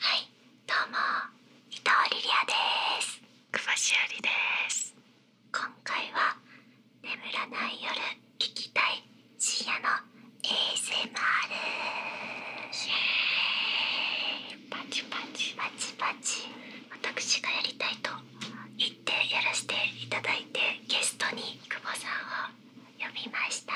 はいどうも伊藤リリアです久保しおりです今回は眠らない夜聞きたい深夜の ASMR イエーイパチパチパチパチ私がやりたいと言ってやらせていただいてゲストに久保さんを読みました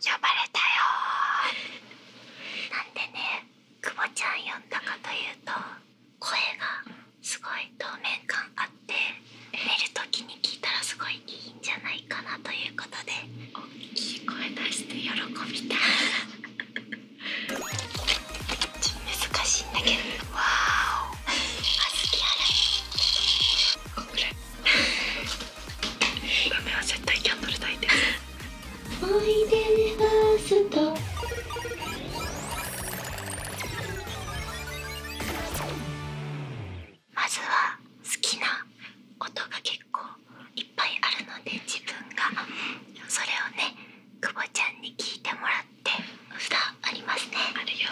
呼ばれたよなんでね久保ちゃん読んだかというと声がすごい透明感あって寝る時に聞いたらすごいいいんじゃないかなということで大きい声出して喜びた難しいんだけどわーお小豆洗い嫁は絶対キャンドル炊いおいでファースト」まずは好きな音が結構いっぱいあるので自分がそれをね久保ちゃんに聞いてもらって札ありますねあるよ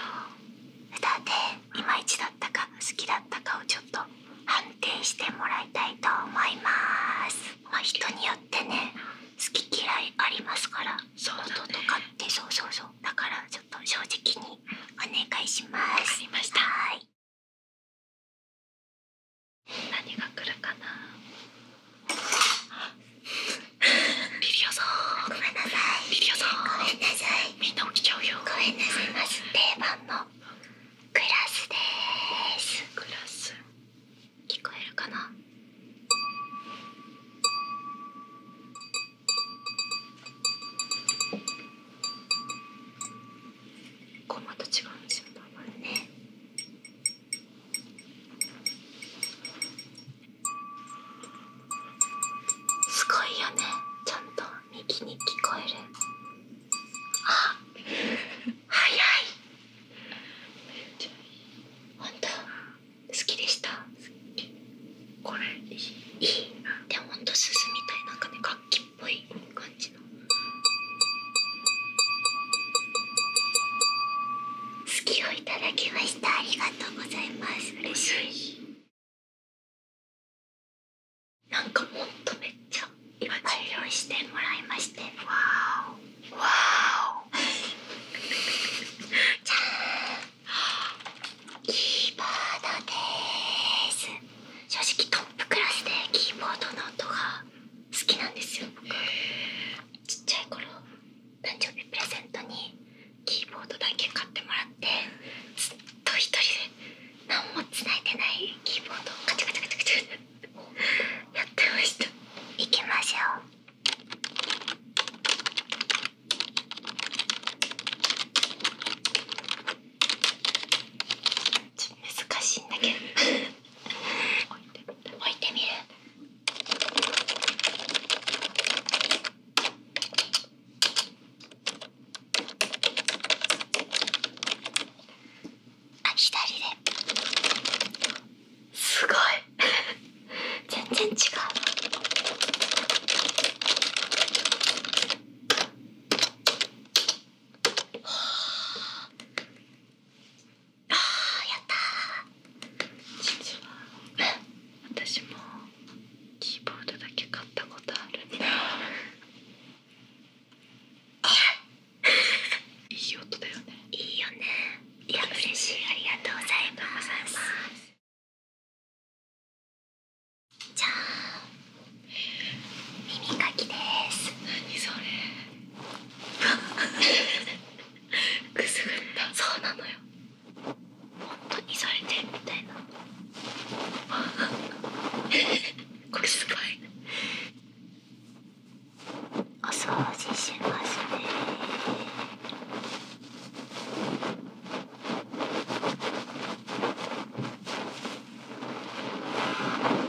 札でいまいちだったか好きだったかをちょっと判定してもらいたいと思います人によってね好き嫌いありますからそうそうそうだからちょっと正直にお願いしますました何が来るかな リごめんなさいリヤさんごめんなさいみんな起きちゃうよごめんなさいクラスですクラス聞こえるかなこまた違うんですよ多分ねすごいよねちゃんと右に聞こえるあ早い本当好きでしたこれいいでもほんとみたい楽器っぽい感じの好きをいただきましたありがとうございます嬉しいなんかもっとめっちゃいっぱい用意してもらいましてわおわおじゃあ、キーボードでーす正直トップクラスでキーボードの音が好きなんですよ僕ちっちゃい頃誕生日プレゼントにキーボードだけ買ってもらってずっと一人で何もついでないキーボードをカチャカチャカチャカチャやってました行きましょうちょっと難しいんだけど置いてみる置いてみるあ左ですごい 全然違うああやったー私もキーボードだけ買ったことあるいいよねいや嬉しいありがとうございますじゃあ耳かきです何それ くすぐったそうなのよ本当にされてるみたいな これすごいお掃除しますね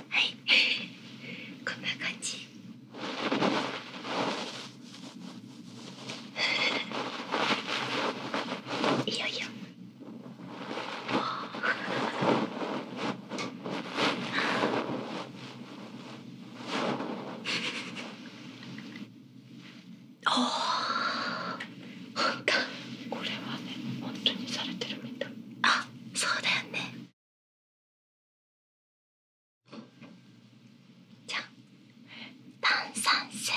はいこんな感じ。いやいやあお本当これはね本当にされてるみたいあそうだよねじゃあ、炭酸水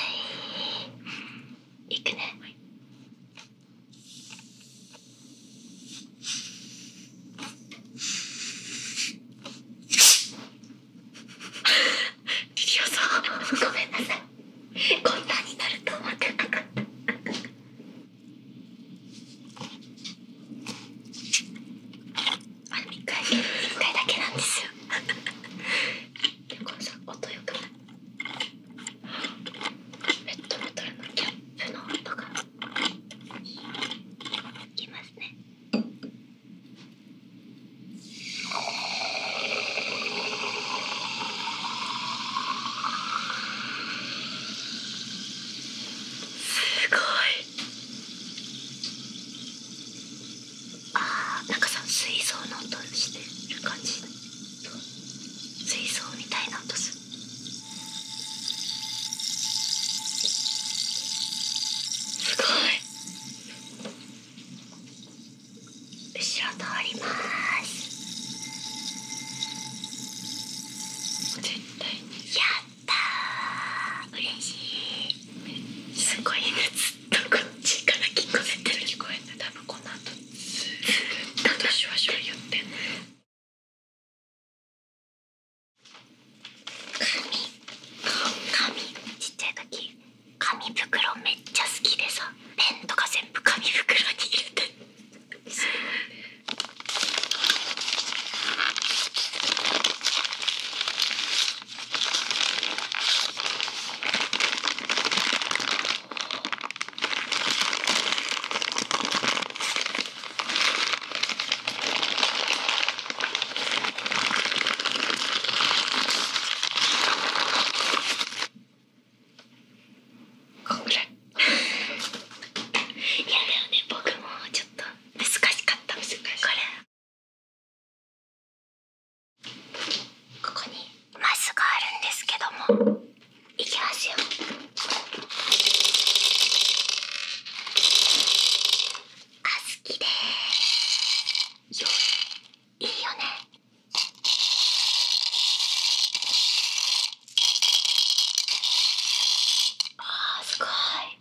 いくね、はい、リリアさんごめんなさいこんなになると思ってなっあでも1回1回だけなんですよでもさ音よくないペットボトルのキャップの音がいますねすごいあーなんかさ水槽の音してる感じ水槽みたいな音するすごい後ろ通りますやったー嬉しいすごい夏こっちから聞こえてる聞こえて多この後ずっとシュワシュって紙紙ちっちゃい時紙袋めっちゃ好きでさペンとか全部紙袋に入れてすごいねこん やだよね僕もちょっと難しかった難しいこれここにマスがあるんですけどもいきますよあ好きでいいよねあーすごい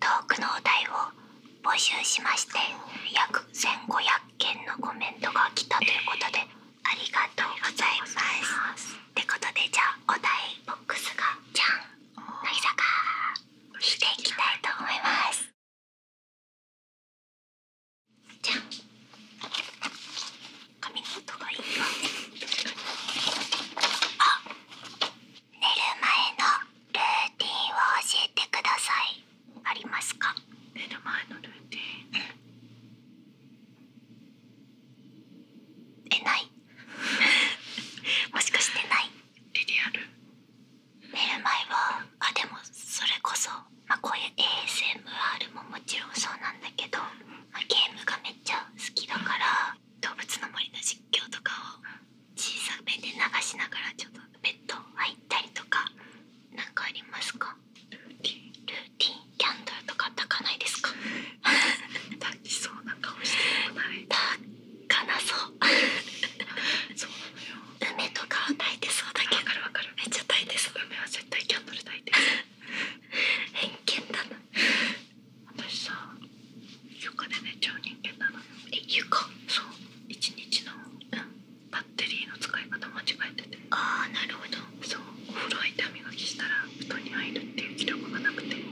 トークのお題を募集しまして約1500件のコメントが来たということでありがとうございます。ってことでじゃあお題ボックスがじゃん乃木坂していきたいと思います。寝る前のルーティンを教えてくださいありますか寝る前のルーティン、うん、えない もしかしてないリリアル寝る前はあでもそれこそ、まこういう ASMR ももちろんそうなんだけど、まゲームがめっちゃ好きだから動物の森の実況とかを小さくめで流しながらちょっとベッド入ったりとかなんかありますかルーティンルーティンキャンドルとか炊かないですか炊きそうな顔してもい炊かなそうそうなのよ梅とかは炊いてそうだけどかるわかるめっちゃ炊いてそう梅は絶対キャンドル炊いてる偏見だな私さ床で寝ちゃう人間なのよえ床そう一日の、バッテリーの使い方間違えててああなるほどそうお風呂入って歯磨きしたら布団に入るっていう気力がなくても、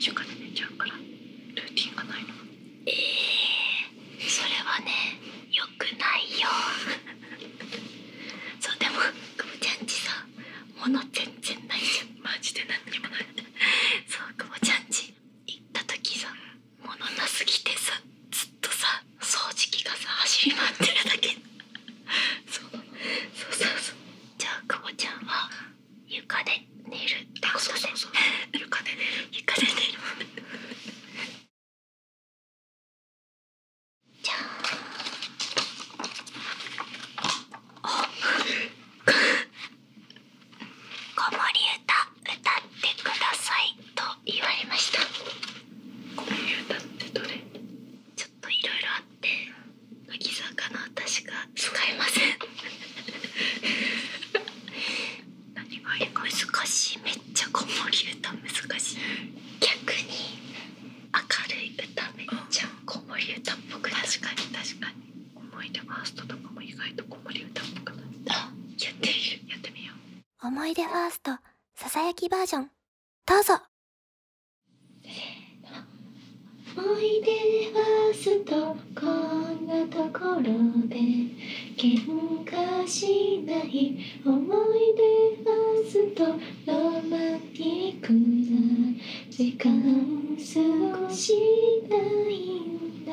床で寝ちゃうからルーティンがないのえー、それはねよくないよ そうでもくぼちゃんちさもの全然ないじゃんマジで何にもないそう久保ちゃんち行った時さ物なすぎてさずっとさ掃除機がさ走り回ってるだけそうそうそうそうじゃあ久保ちゃんは床で寝るってことで床で寝る床で寝るじゃあ「子守歌歌ってください」と言われました子守歌ってどれちょっといろいろあって乃木坂の私が使えません何がいいか難しいめっちゃ子守歌難しい逆に明るい歌めっちゃ子守歌っぽく確かに確かに思い出ファーストとかも意外と子守歌っぽくなったやってみるやってみよう思い出ファーストささやきバージョンどうぞ思い出ファースト、こんなところで喧嘩しない思い出ファースト。ロマンティックな時間過ごしたいんだ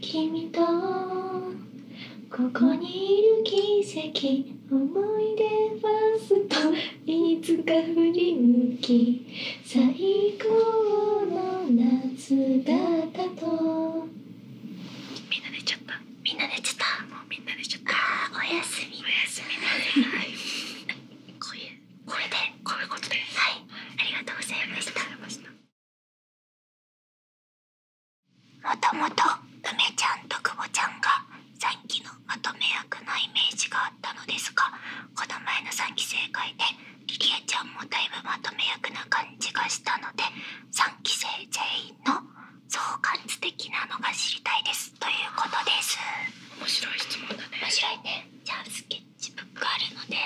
君とここにいる奇跡思い出ファースト。いつか振り向き最高の夏だったとみんな寝ちゃったみんな寝ちたもあおやすみこれでこういうことではいありがとうございましたもともと梅ちゃんと久保ちゃんが3期のまとめ役のイメージがあったのですがこの前の3期生会でリリアちゃんもだいぶまとめ役な感じがしたので3期生全員の相関図的なのが知りたいですということです面白い質問だねじゃあスケッチブックあるので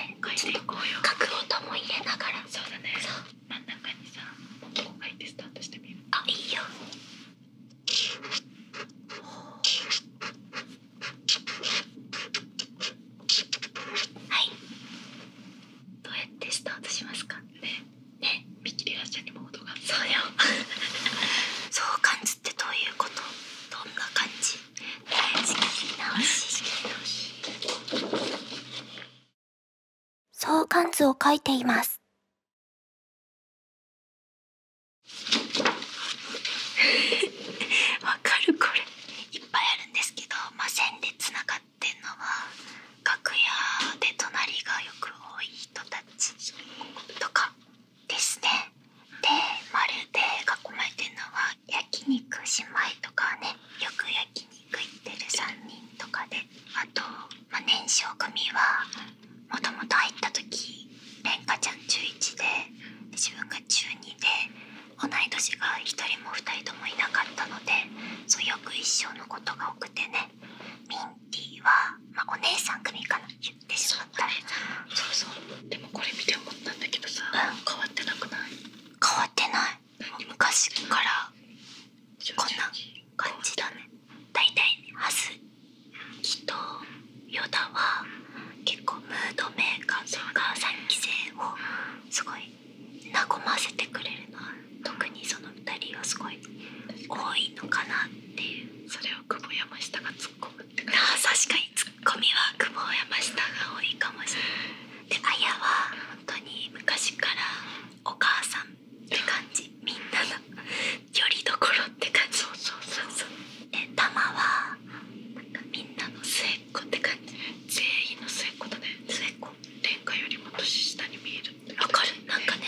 書く音も入れながらそう真ん中にさここ書いてスタートしてみるあいいよはいどうやってスタートしますかねね見切り発車にも音がそうよ そうってどういうことどんな感じ仕切り直しを書いています わかるこれいっぱいあるんですけどまあ線でつながってんのは楽屋で隣がよく多い人たちとかですねでまるで囲まれてるのは焼肉姉妹とかねよく焼肉行ってる3人とかであと、ま年少組はもともと入った時レンカちゃん中1で自分が中2で同い年が1人も2人ともいなかったのでそうよく一生のことが多くてねみんィは、まあ、お姉さん組かな言ってしまったそう,、そうでもこれ見て思ったんだけどさ、変わってない変わってない昔からこんな感じだね大体ハスキとヨダは結構ムードメーカーとか3期生をすごい和ませてくれるのは特にその2人はすごい多いのかなっていうそれを久保山下が突っ込むって感じ確かにツッコミは久保山下が多いかもしれないであやは本当に昔からお母さんって感じみんなのよりどころって感じそうそうそうそうでたまはなんかみんなの末っ子って感じ全員の末っ子だね末っこ下よりも年下に見えるわかるなんかね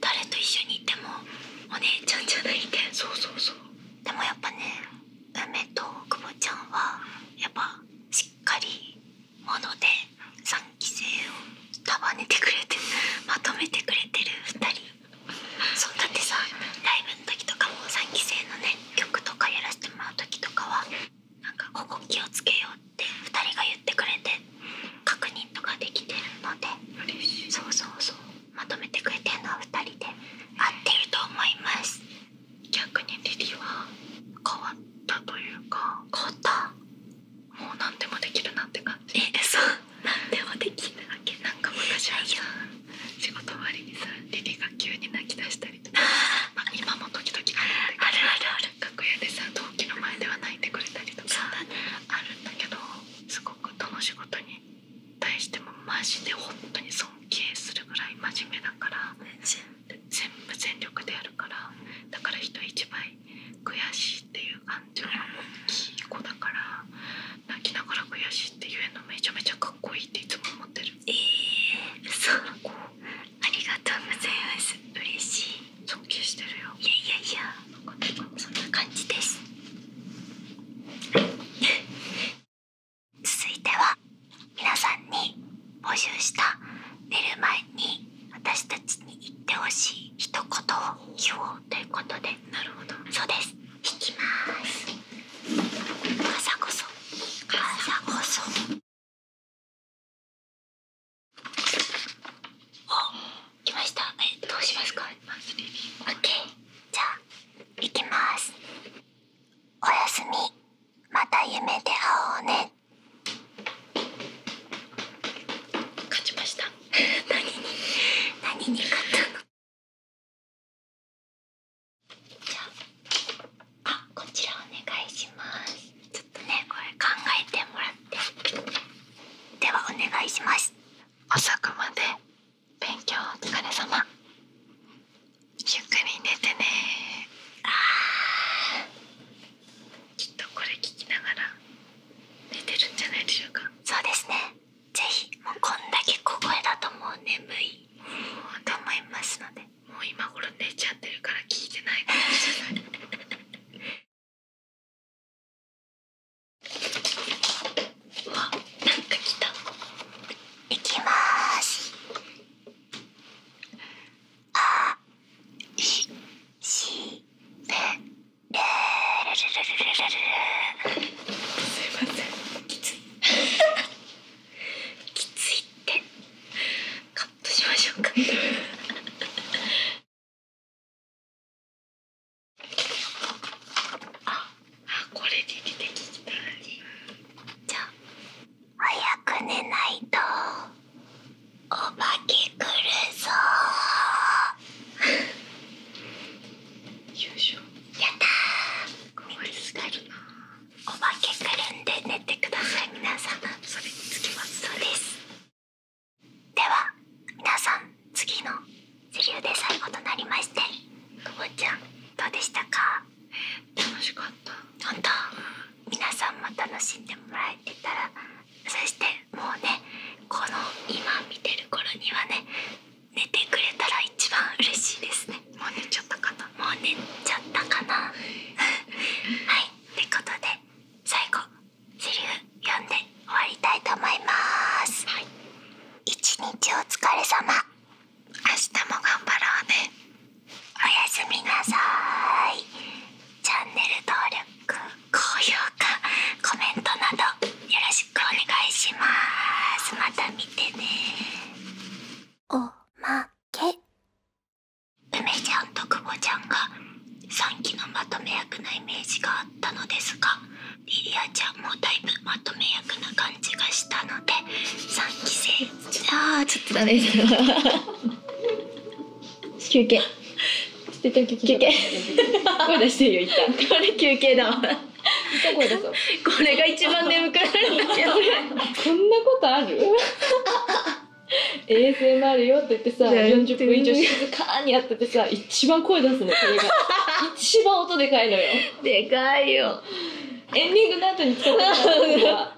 誰と一緒にいてもお姉ちゃんじゃないけそうそうそうでもやっぱね梅と久保ちゃんはやっぱしっかりもので三期生を束ねてくれて まとめてくれてる2人そうだってさライブの時とかも三期生のね曲とかやらせてもらう時とかはなんかここ気をつけようって2人が言ってくれて確認とかできてるのでそうそうそうまとめてくれてるのは2人で合ってると思います逆にリリは変わったというか変わったもう何でもできるなって感じえそう何でもできるわけなか昔はさ仕事終わりにさリリが急に泣き出したりとかまあ今も時々あるあるある楽屋でさ同期の前では泣いてくれたりとかあるんだけどすごくどの仕事に対してもマジで本当に尊敬するぐらい真面目だから全部全力でやるからだから人一倍悔しいっていう感情が大きい子だから泣きながら悔しいって言えるのめちゃめちゃかっこいいっていつも思ってる。えーそうありがとうございま嬉しい尊敬してるよいやいやいやそんな感じです 続いては皆さんに募集した寝る前に私たちに言ってほしい一言を言おうということでなるほどそうです引きます朝こそ朝こそお、来ました。え、どうしますか。オッケー、じゃあ、行きます。おやすみ。また夢で会おうね。勝ちました。何に、何に勝ったの。じゃあ、あこちらお願いしますちょっとねこれ考えてもらってではお願いします遅くまで勉強お疲れ様ゆっくり寝てねあきとこれ聞きながら寝てるんじゃないでしょうかそうですねぜひもうこんだけ小声だともう眠いと思いますのでもう今頃寝ちゃってるから聞いてない行きます。あ、い、し、べ、れ、れ、れ、れ、れ、れ、すいません。きつい。きついって。カとしましょうかこれじゃ早く寝ないとお化け来るぞやったすがるなお化けくるんで寝てください皆さんそれにつきますそうですでは皆さん次のセリで最後となりましてくぼちゃんどうでしたか楽しかった本当皆さんも楽しんでもらえてたらそしてもうねこの今見てる頃にはね寝てくれたら一番嬉しいですねもう寝ちゃったかなもう寝ちゃったかな はいってことで最後セリ読んで終わりたいと思います、一日お疲れ様明日も頑張ろうねおやすみなさーいチャンネル登録高評価コメントなどよろしくお願いしますまた見てねおまけ梅ちゃんと久保ちゃんが3期のまとめ役なイメージがあったのですがリリアちゃんもだいぶまとめ役な感じがしたので3期生あちょっとダメです休憩休憩声出してよ一旦これ休憩だこれが一番眠くなるんだけどこんなことある ASMR よって言ってさ40分以上静かにやっててさ一番声出すのこれが 一番音でかいのよでかいよエンディングの後に使ってたのが